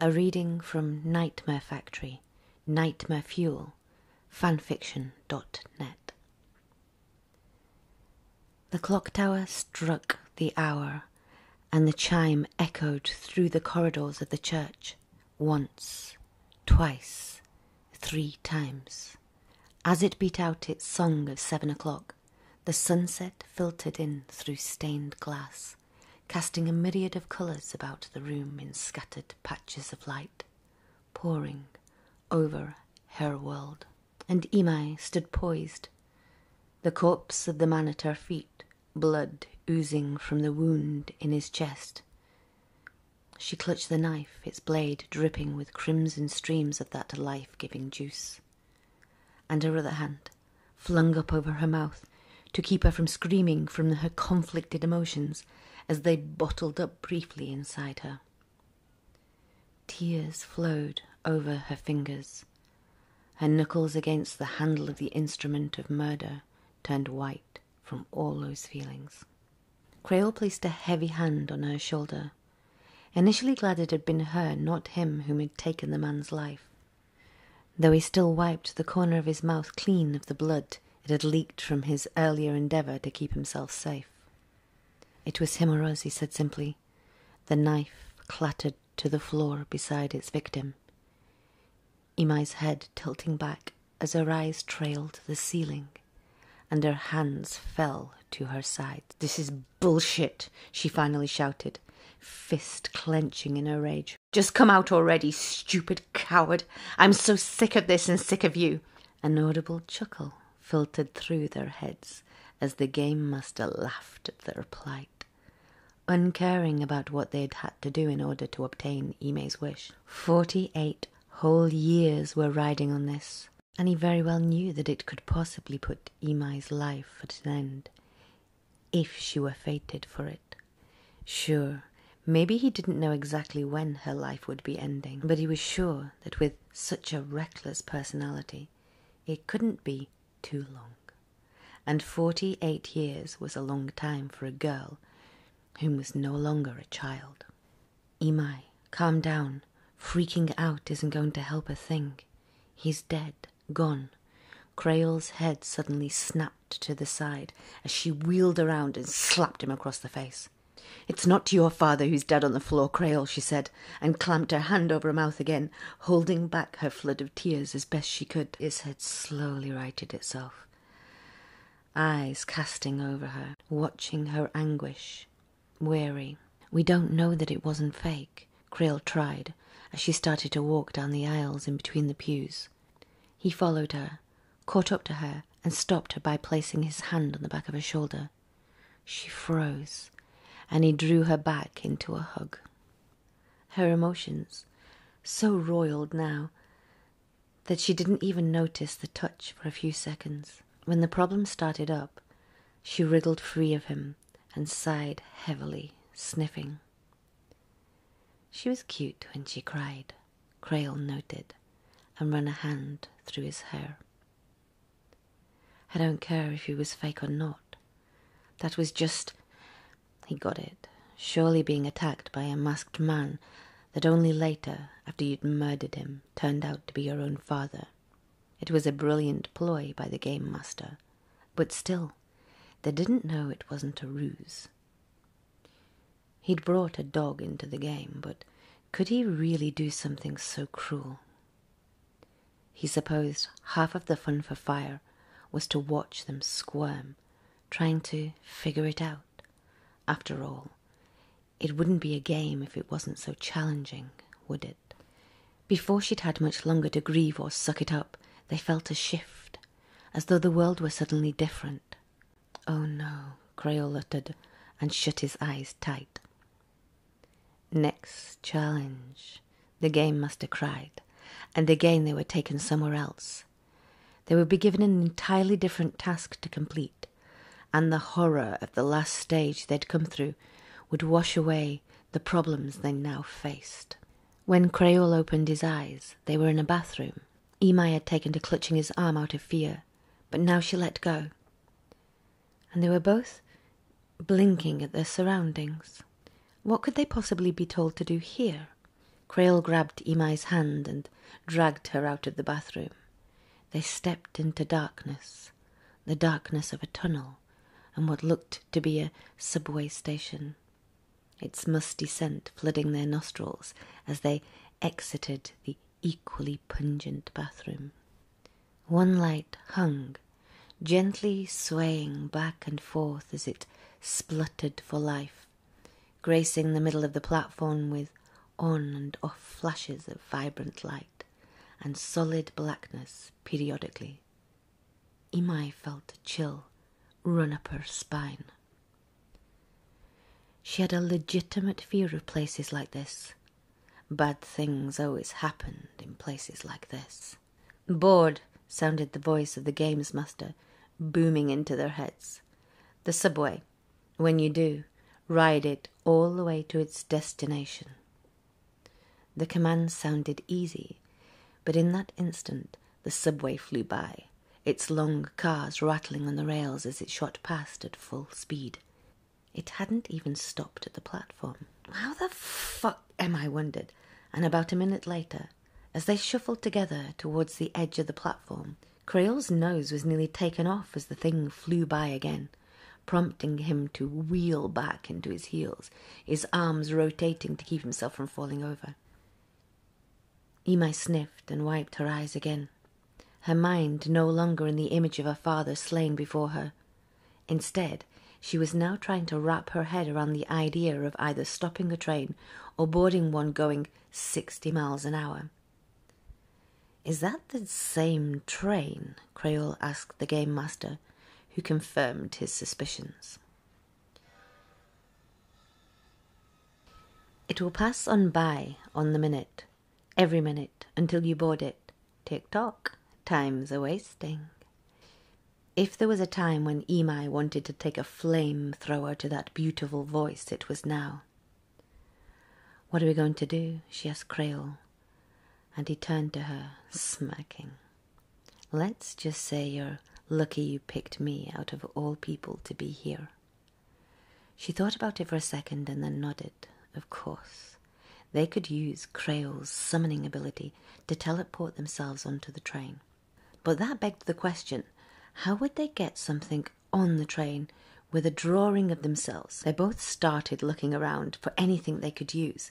A reading from Nightmare Factory, Nightmare Fuel, fanfiction.net. The clock tower struck the hour, and the chime echoed through the corridors of the church once, twice, three times. As it beat out its song of seven o'clock, the sunset filtered in through stained glass casting a myriad of colours about the room in scattered patches of light, pouring over her world. And Imai stood poised, the corpse of the man at her feet, blood oozing from the wound in his chest. She clutched the knife, its blade dripping with crimson streams of that life giving juice, and her other hand flung up over her mouth to keep her from screaming from her conflicted emotions as they bottled up briefly inside her. Tears flowed over her fingers. Her knuckles against the handle of the instrument of murder turned white from all those feelings. Creole placed a heavy hand on her shoulder, initially glad it had been her, not him, whom had taken the man's life. Though he still wiped the corner of his mouth clean of the blood it had leaked from his earlier endeavor to keep himself safe. It was him he said simply. The knife clattered to the floor beside its victim. Imai's head tilting back as her eyes trailed the ceiling, and her hands fell to her sides. This is bullshit, she finally shouted, fist clenching in her rage. Just come out already, stupid coward. I'm so sick of this and sick of you. An audible chuckle filtered through their heads as the game master laughed at their plight, uncaring about what they'd had to do in order to obtain Ime's wish. Forty eight whole years were riding on this, and he very well knew that it could possibly put Ime's life at an end if she were fated for it. Sure, maybe he didn't know exactly when her life would be ending, but he was sure that with such a reckless personality, it couldn't be too long. And forty eight years was a long time for a girl whom was no longer a child. Imai, calm down. Freaking out isn't going to help a thing. He's dead. Gone. Creole's head suddenly snapped to the side as she wheeled around and slapped him across the face. It's not your father who's dead on the floor, Creole, she said, and clamped her hand over her mouth again, holding back her flood of tears as best she could. His head slowly righted itself, eyes casting over her, watching her anguish, weary. We don't know that it wasn't fake. Creel tried, as she started to walk down the aisles in between the pews. He followed her, caught up to her, and stopped her by placing his hand on the back of her shoulder. She froze, and he drew her back into a hug. Her emotions, so roiled now that she didn't even notice the touch for a few seconds. When the problem started up, she wriggled free of him and sighed heavily, sniffing. She was cute when she cried, Crail noted, and ran a hand through his hair. I don't care if he was fake or not. That was just. He got it. Surely being attacked by a masked man that only later, after you'd murdered him, turned out to be your own father. It was a brilliant ploy by the game master, but still, they didn't know it wasn't a ruse. He'd brought a dog into the game, but could he really do something so cruel? He supposed half of the fun for fire was to watch them squirm, trying to figure it out. After all, it wouldn't be a game if it wasn't so challenging, would it? Before she'd had much longer to grieve or suck it up, they felt a shift, as though the world were suddenly different. Oh no, Creole uttered and shut his eyes tight. Next challenge, the game master cried, and again they were taken somewhere else. They would be given an entirely different task to complete, and the horror of the last stage they'd come through would wash away the problems they now faced. When Creole opened his eyes, they were in a bathroom. Imai had taken to clutching his arm out of fear, but now she let go. And they were both blinking at their surroundings. What could they possibly be told to do here? Creole grabbed Imai's hand and dragged her out of the bathroom. They stepped into darkness the darkness of a tunnel and what looked to be a subway station, its musty scent flooding their nostrils as they exited the equally pungent bathroom. One light hung, gently swaying back and forth as it spluttered for life, gracing the middle of the platform with on and off flashes of vibrant light and solid blackness periodically Imai felt a chill run up her spine. She had a legitimate fear of places like this. Bad things always happened in places like this. Bored, sounded the voice of the games master, booming into their heads. The subway. When you do, ride it all the way to its destination. The command sounded easy, but in that instant the subway flew by, its long cars rattling on the rails as it shot past at full speed. It hadn't even stopped at the platform. How the fuck am I wondered? And about a minute later, as they shuffled together towards the edge of the platform, Creole's nose was nearly taken off as the thing flew by again, prompting him to wheel back into his heels, his arms rotating to keep himself from falling over. Imai sniffed and wiped her eyes again, her mind no longer in the image of her father slain before her. Instead, she was now trying to wrap her head around the idea of either stopping a train or boarding one going sixty miles an hour. Is that the same train? Creole asked the game master, who confirmed his suspicions. It will pass on by on the minute, every minute, until you board it. Tick tock, time's a wasting. If there was a time when Imai wanted to take a flame thrower to that beautiful voice, it was now. What are we going to do? she asked Creole, and he turned to her, smacking. Let's just say you're lucky you picked me out of all people to be here. She thought about it for a second and then nodded. Of course. They could use Creole's summoning ability to teleport themselves onto the train. But that begged the question how would they get something on the train with a drawing of themselves? They both started looking around for anything they could use.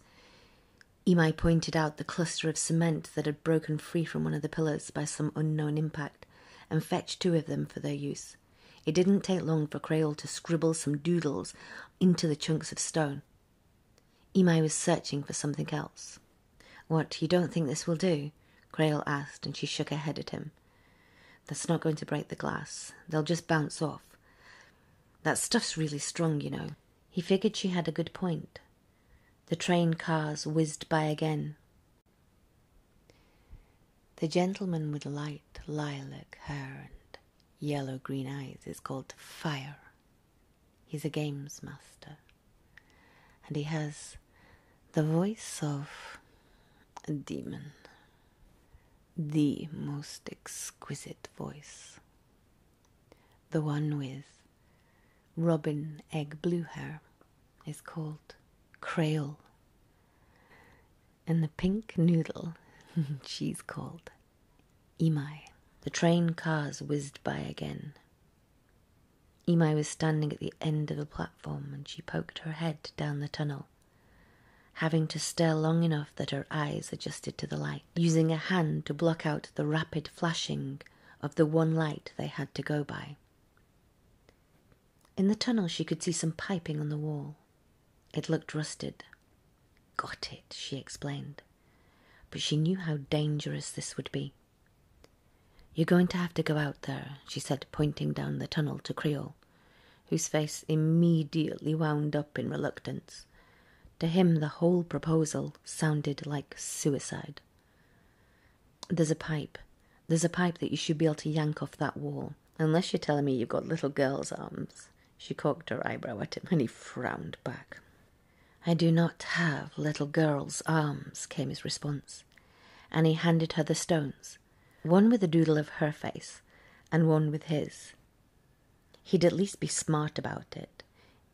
Imai pointed out the cluster of cement that had broken free from one of the pillars by some unknown impact, and fetched two of them for their use. It didn't take long for Creole to scribble some doodles into the chunks of stone. Imai was searching for something else. What, you don't think this will do? Creole asked, and she shook her head at him. That's not going to break the glass. They'll just bounce off. That stuff's really strong, you know. He figured she had a good point. The train cars whizzed by again. The gentleman with light lilac hair and yellow green eyes is called Fire. He's a games master. And he has the voice of a demon the most exquisite voice, the one with robin egg blue hair is called Creole, and the pink noodle she's called Imai. The train cars whizzed by again. Imai was standing at the end of the platform and she poked her head down the tunnel having to stare long enough that her eyes adjusted to the light, using a hand to block out the rapid flashing of the one light they had to go by. In the tunnel, she could see some piping on the wall. It looked rusted. Got it, she explained. But she knew how dangerous this would be. You're going to have to go out there, she said, pointing down the tunnel to Creole whose face immediately wound up in reluctance. To him, the whole proposal sounded like suicide. There's a pipe. There's a pipe that you should be able to yank off that wall. Unless you're telling me you've got little girls' arms. She cocked her eyebrow at him, and he frowned back. I do not have little girls' arms, came his response, and he handed her the stones, one with a doodle of her face, and one with his. He'd at least be smart about it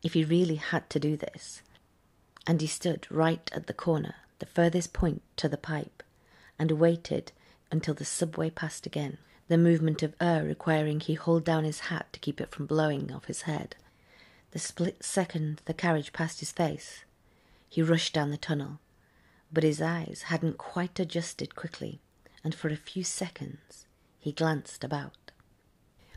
if he really had to do this. And he stood right at the corner, the furthest point to the pipe, and waited until the subway passed again, the movement of air requiring he hold down his hat to keep it from blowing off his head. The split second the carriage passed his face, he rushed down the tunnel, but his eyes hadn't quite adjusted quickly and for a few seconds he glanced about.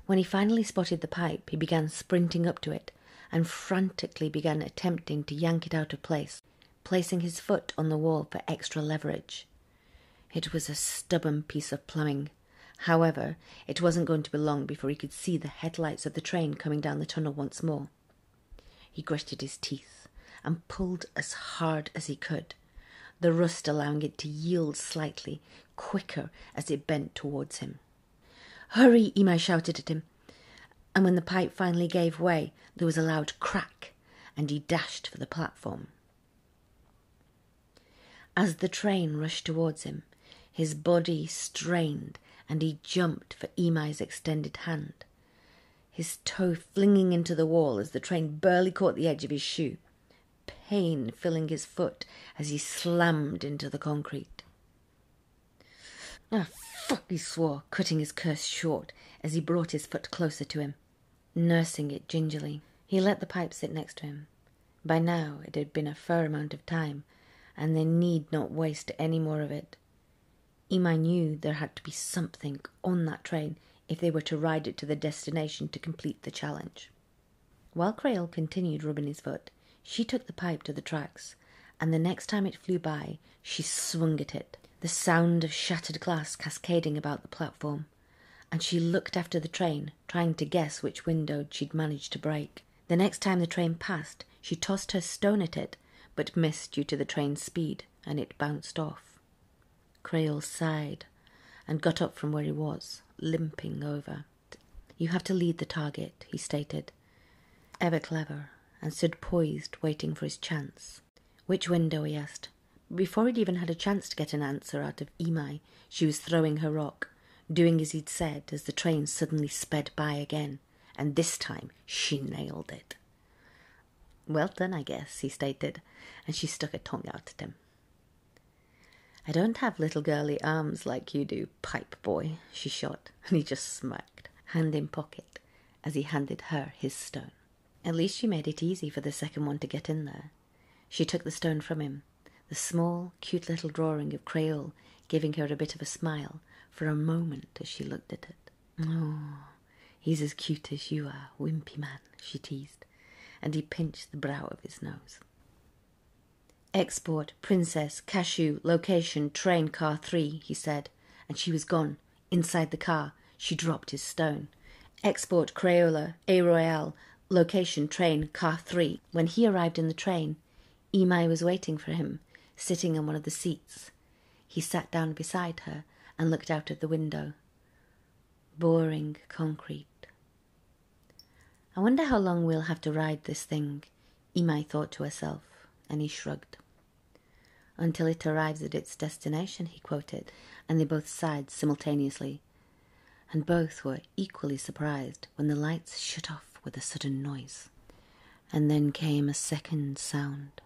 When he finally spotted the pipe, he began sprinting up to it and frantically began attempting to yank it out of place, placing his foot on the wall for extra leverage. It was a stubborn piece of plumbing. However, it wasn't going to be long before he could see the headlights of the train coming down the tunnel once more. He gritted his teeth and pulled as hard as he could, the rust allowing it to yield slightly quicker as it bent towards him. Hurry! Imai shouted at him, and when the pipe finally gave way, there was a loud crack, and he dashed for the platform. As the train rushed towards him, his body strained and he jumped for Imai's extended hand his toe flinging into the wall as the train barely caught the edge of his shoe, pain filling his foot as he slammed into the concrete. Ah, fuck, he swore, cutting his curse short as he brought his foot closer to him. Nursing it gingerly, he let the pipe sit next to him. By now it had been a fair amount of time, and they need not waste any more of it. Emi knew there had to be something on that train if they were to ride it to their destination to complete the challenge. While Creole continued rubbing his foot, she took the pipe to the tracks, and the next time it flew by she swung at it, the sound of shattered glass cascading about the platform, and she looked after the train, trying to guess which window she'd managed to break. The next time the train passed, she tossed her stone at it, but missed due to the train's speed, and it bounced off. Creole sighed and got up from where he was, limping over. You have to lead the target, he stated, ever clever, and stood poised, waiting for his chance. Which window? he asked. Before he'd even had a chance to get an answer out of Imai, she was throwing her rock, doing as he'd said as the train suddenly sped by again, and this time she nailed it. Well done, I guess, he stated, and she stuck her tongue out at him. I don't have little girly arms like you do, pipe boy, she shot, and he just smirked, hand in pocket, as he handed her his stone. At least she made it easy for the second one to get in there. She took the stone from him, the small, cute little drawing of Creole giving her a bit of a smile for a moment as she looked at it. Oh, He's as cute as you are, wimpy man, she teased, and he pinched the brow of his nose. Export, princess, cashew, location, train car three, he said, and she was gone. Inside the car, she dropped his stone. Export, Crayola, A Royale, location, train, car three. When he arrived in the train, Imai was waiting for him, sitting on one of the seats. He sat down beside her and looked out of the window. Boring concrete. I wonder how long we'll have to ride this thing, Imai thought to herself, and he shrugged. Until it arrives at its destination, he quoted, and they both sighed simultaneously. And both were equally surprised when the lights shut off with a sudden noise and then came a second sound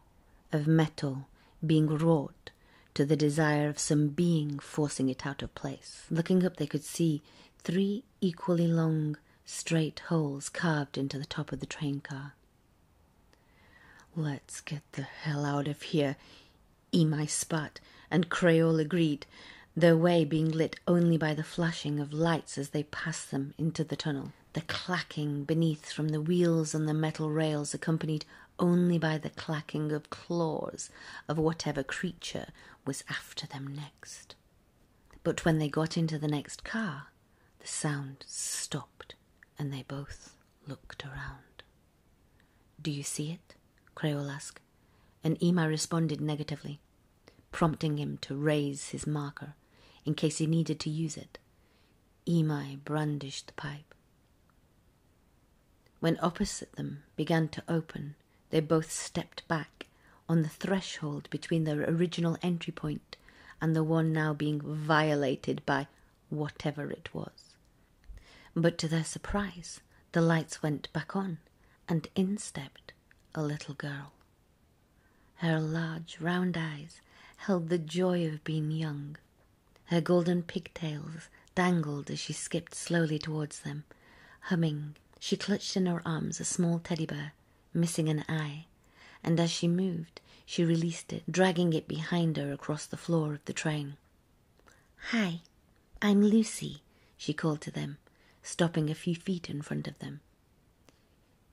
of metal being wrought to the desire of some being forcing it out of place. Looking up, they could see three equally long, straight holes carved into the top of the train car. Let's get the hell out of here, Emi spat, and Creole agreed, their way being lit only by the flashing of lights as they passed them into the tunnel the clacking beneath from the wheels on the metal rails, accompanied only by the clacking of claws of whatever creature was after them next. But when they got into the next car, the sound stopped and they both looked around. Do you see it? Creole asked, and Ema responded negatively, prompting him to raise his marker in case he needed to use it. Emi brandished the pipe. When opposite them began to open, they both stepped back on the threshold between their original entry point and the one now being violated by whatever it was. But to their surprise, the lights went back on, and in stepped a little girl. Her large, round eyes held the joy of being young. Her golden pigtails dangled as she skipped slowly towards them. Humming, she clutched in her arms a small teddy bear, missing an eye, and as she moved, she released it, dragging it behind her across the floor of the train. Hi, I'm Lucy, she called to them, stopping a few feet in front of them.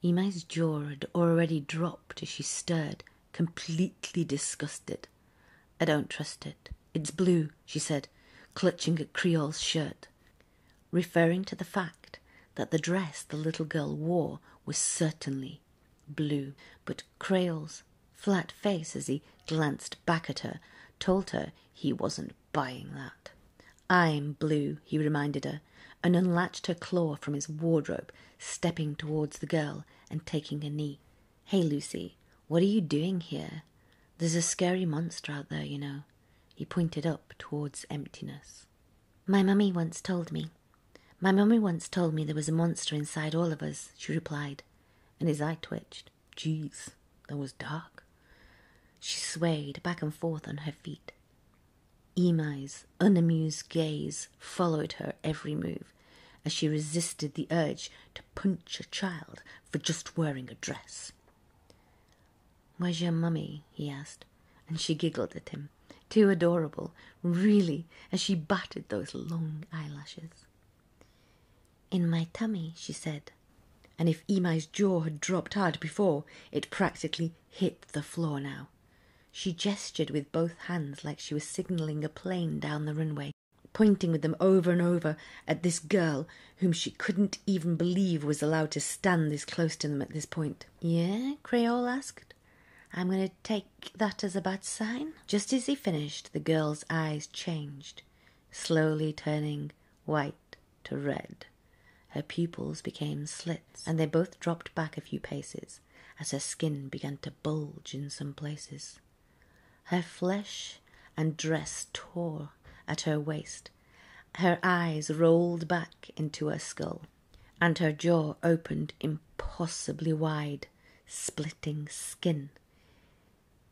Imai's jaw had already dropped as she stirred, completely disgusted. I don't trust it. It's blue, she said, clutching at Creole's shirt, referring to the fact that the dress the little girl wore was certainly blue. But Creole's flat face as he glanced back at her told her he wasn't buying that. I'm blue, he reminded her and unlatched her claw from his wardrobe, stepping towards the girl and taking her knee. Hey, Lucy, what are you doing here? There's a scary monster out there, you know. He pointed up towards emptiness. My mummy once told me. My mummy once told me there was a monster inside all of us, she replied, and his eye twitched. Jeez, that was dark. She swayed back and forth on her feet. Imai's unamused gaze followed her every move as she resisted the urge to punch a child for just wearing a dress. Where's your mummy? he asked, and she giggled at him. Too adorable, really, as she batted those long eyelashes. In my tummy, she said, and if Imai's jaw had dropped hard before, it practically hit the floor now. She gestured with both hands like she was signaling a plane down the runway, pointing with them over and over at this girl whom she couldn't even believe was allowed to stand this close to them at this point. Yeah? Creole asked. I'm going to take that as a bad sign. Just as he finished, the girl's eyes changed, slowly turning white to red. Her pupils became slits, and they both dropped back a few paces as her skin began to bulge in some places. Her flesh and dress tore at her waist, her eyes rolled back into her skull, and her jaw opened impossibly wide, splitting skin,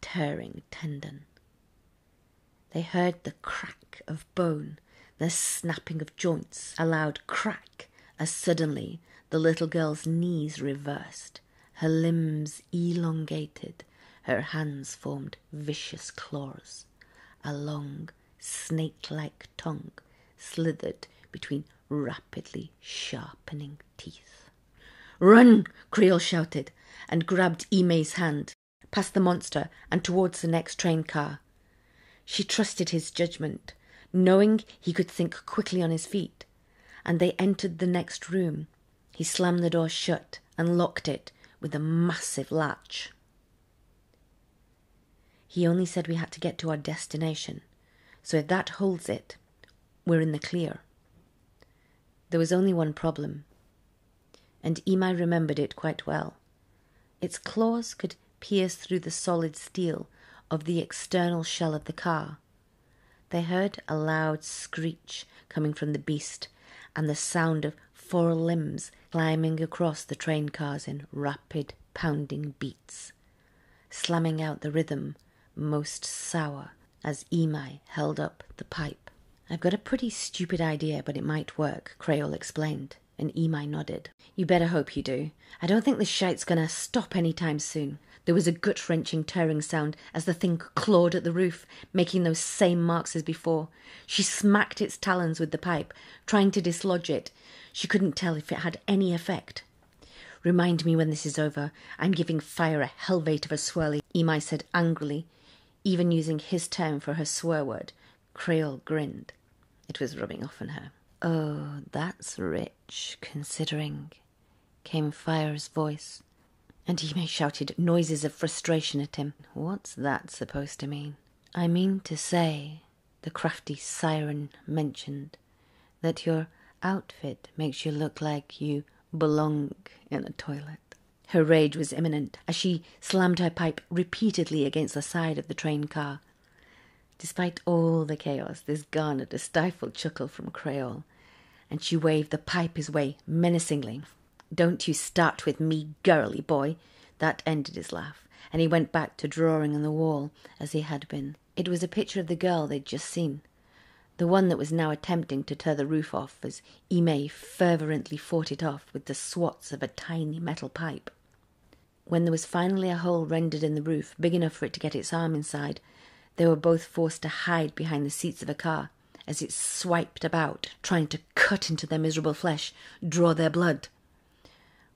tearing tendon. They heard the crack of bone, the snapping of joints, a loud crack, as suddenly the little girl's knees reversed, her limbs elongated, her hands formed vicious claws, a long, snake like tongue slithered between rapidly sharpening teeth. Run! Creel shouted and grabbed Ime's hand, past the monster, and towards the next train car. She trusted his judgment, knowing he could think quickly on his feet, and they entered the next room. He slammed the door shut and locked it with a massive latch. He only said we had to get to our destination, so if that holds it, we're in the clear. There was only one problem, and Imai remembered it quite well. Its claws could pierce through the solid steel of the external shell of the car. They heard a loud screech coming from the beast and the sound of four limbs climbing across the train cars in rapid pounding beats, slamming out the rhythm most sour as Imai held up the pipe. I've got a pretty stupid idea, but it might work, Creole explained and Emi nodded. You better hope you do. I don't think this shite's gonna stop any time soon. There was a gut wrenching, tearing sound as the thing clawed at the roof, making those same marks as before. She smacked its talons with the pipe, trying to dislodge it. She couldn't tell if it had any effect. Remind me when this is over. I'm giving fire a helvete of a swirly, Emi said angrily, even using his term for her swear word Creole grinned. It was rubbing off on her. Oh, that's rich, considering, came Fire's voice, and Yime shouted noises of frustration at him. What's that supposed to mean? I mean to say, the crafty siren mentioned, that your outfit makes you look like you belong in a toilet. Her rage was imminent as she slammed her pipe repeatedly against the side of the train car. Despite all the chaos, this garnered a stifled chuckle from Creole, and she waved the pipe his way menacingly. Don't you start with me, girly boy! That ended his laugh, and he went back to drawing on the wall as he had been. It was a picture of the girl they'd just seen, the one that was now attempting to tear the roof off as Ime fervently fought it off with the swats of a tiny metal pipe. When there was finally a hole rendered in the roof big enough for it to get its arm inside, they were both forced to hide behind the seats of a car as it swiped about, trying to cut into their miserable flesh, draw their blood.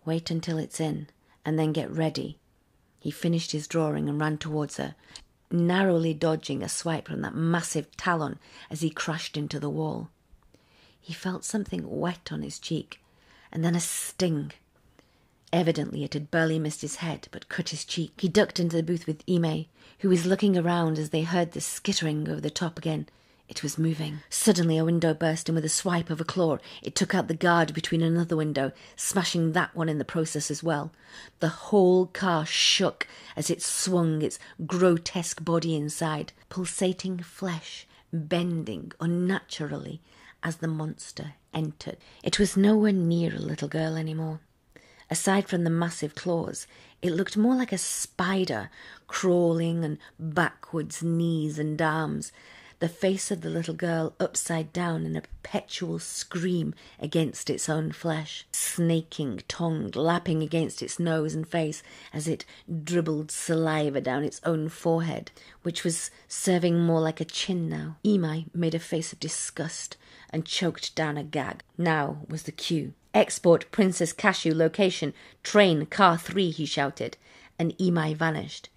Wait until it's in, and then get ready. He finished his drawing and ran towards her, narrowly dodging a swipe from that massive talon as he crashed into the wall. He felt something wet on his cheek, and then a sting. Evidently it had barely missed his head, but cut his cheek. He ducked into the booth with Ime, who was looking around as they heard the skittering over the top again. It was moving. Suddenly a window burst, in with a swipe of a claw it took out the guard between another window, smashing that one in the process as well. The whole car shook as it swung its grotesque body inside, pulsating flesh bending unnaturally as the monster entered. It was nowhere near a little girl any more. Aside from the massive claws, it looked more like a spider crawling and backwards knees and arms, the face of the little girl upside down in a perpetual scream against its own flesh, snaking tongue lapping against its nose and face as it dribbled saliva down its own forehead, which was serving more like a chin now. Imai made a face of disgust and choked down a gag. Now was the cue. Export Princess Cashew location, train car three, he shouted, and Imai vanished.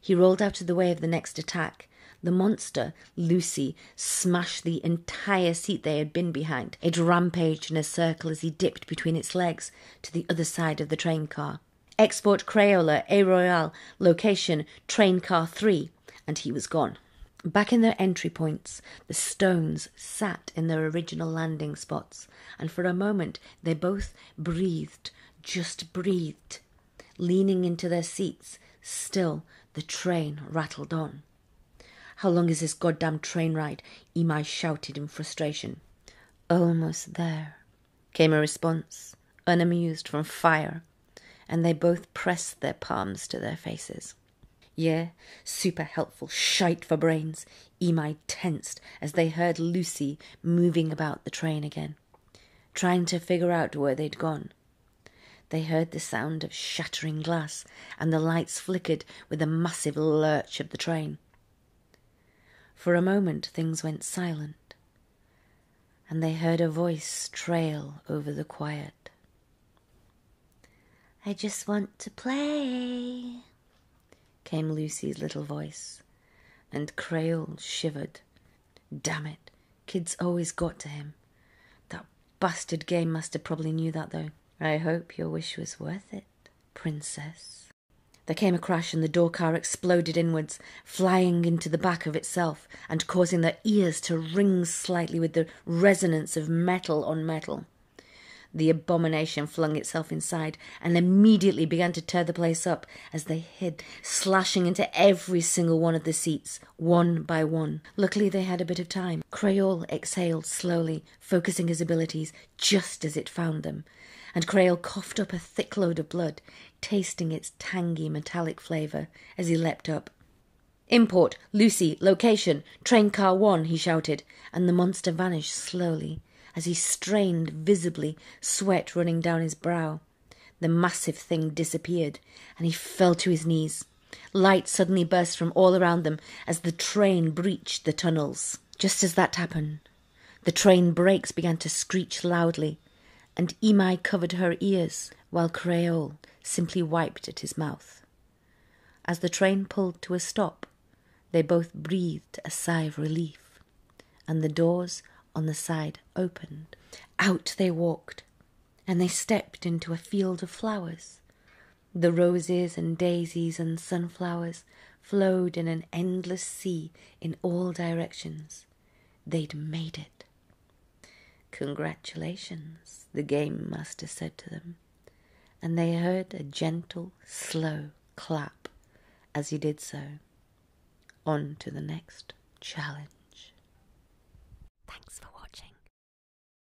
He rolled out of the way of the next attack. The monster, Lucy, smashed the entire seat they had been behind it rampaged in a circle as he dipped between its legs to the other side of the train car. Export Crayola, A Royal, location, train car 3, and he was gone. Back in their entry points, the stones sat in their original landing spots, and for a moment they both breathed, just breathed. Leaning into their seats, still the train rattled on. How long is this goddamn train ride? Imai shouted in frustration. Almost there, came a response, unamused from fire, and they both pressed their palms to their faces. Yeah, super helpful shite for brains. Imai tensed as they heard Lucy moving about the train again, trying to figure out where they'd gone. They heard the sound of shattering glass, and the lights flickered with the massive lurch of the train. For a moment things went silent, and they heard a voice trail over the quiet. I just want to play, came Lucy's little voice, and Creole shivered. Damn it, kids always got to him. That Bastard Game Master probably knew that, though. I hope your wish was worth it, Princess. There came a crash, and the door car exploded inwards, flying into the back of itself and causing their ears to ring slightly with the resonance of metal on metal. The abomination flung itself inside and immediately began to tear the place up as they hid, slashing into every single one of the seats, one by one. Luckily, they had a bit of time. Creole exhaled slowly, focusing his abilities just as it found them, and Crail coughed up a thick load of blood, tasting its tangy metallic flavour as he leapt up. Import, Lucy, location, train car one, he shouted, and the monster vanished slowly as he strained visibly, sweat running down his brow. The massive thing disappeared, and he fell to his knees. Light suddenly burst from all around them as the train breached the tunnels. Just as that happened, the train brakes began to screech loudly, and Imai covered her ears while Creole simply wiped at his mouth. As the train pulled to a stop, they both breathed a sigh of relief, and the doors on the side opened. Out they walked, and they stepped into a field of flowers. The roses and daisies and sunflowers flowed in an endless sea in all directions. They'd made it. Congratulations, the game master said to them, and they heard a gentle, slow clap as he did so. On to the next challenge. Thanks for watching.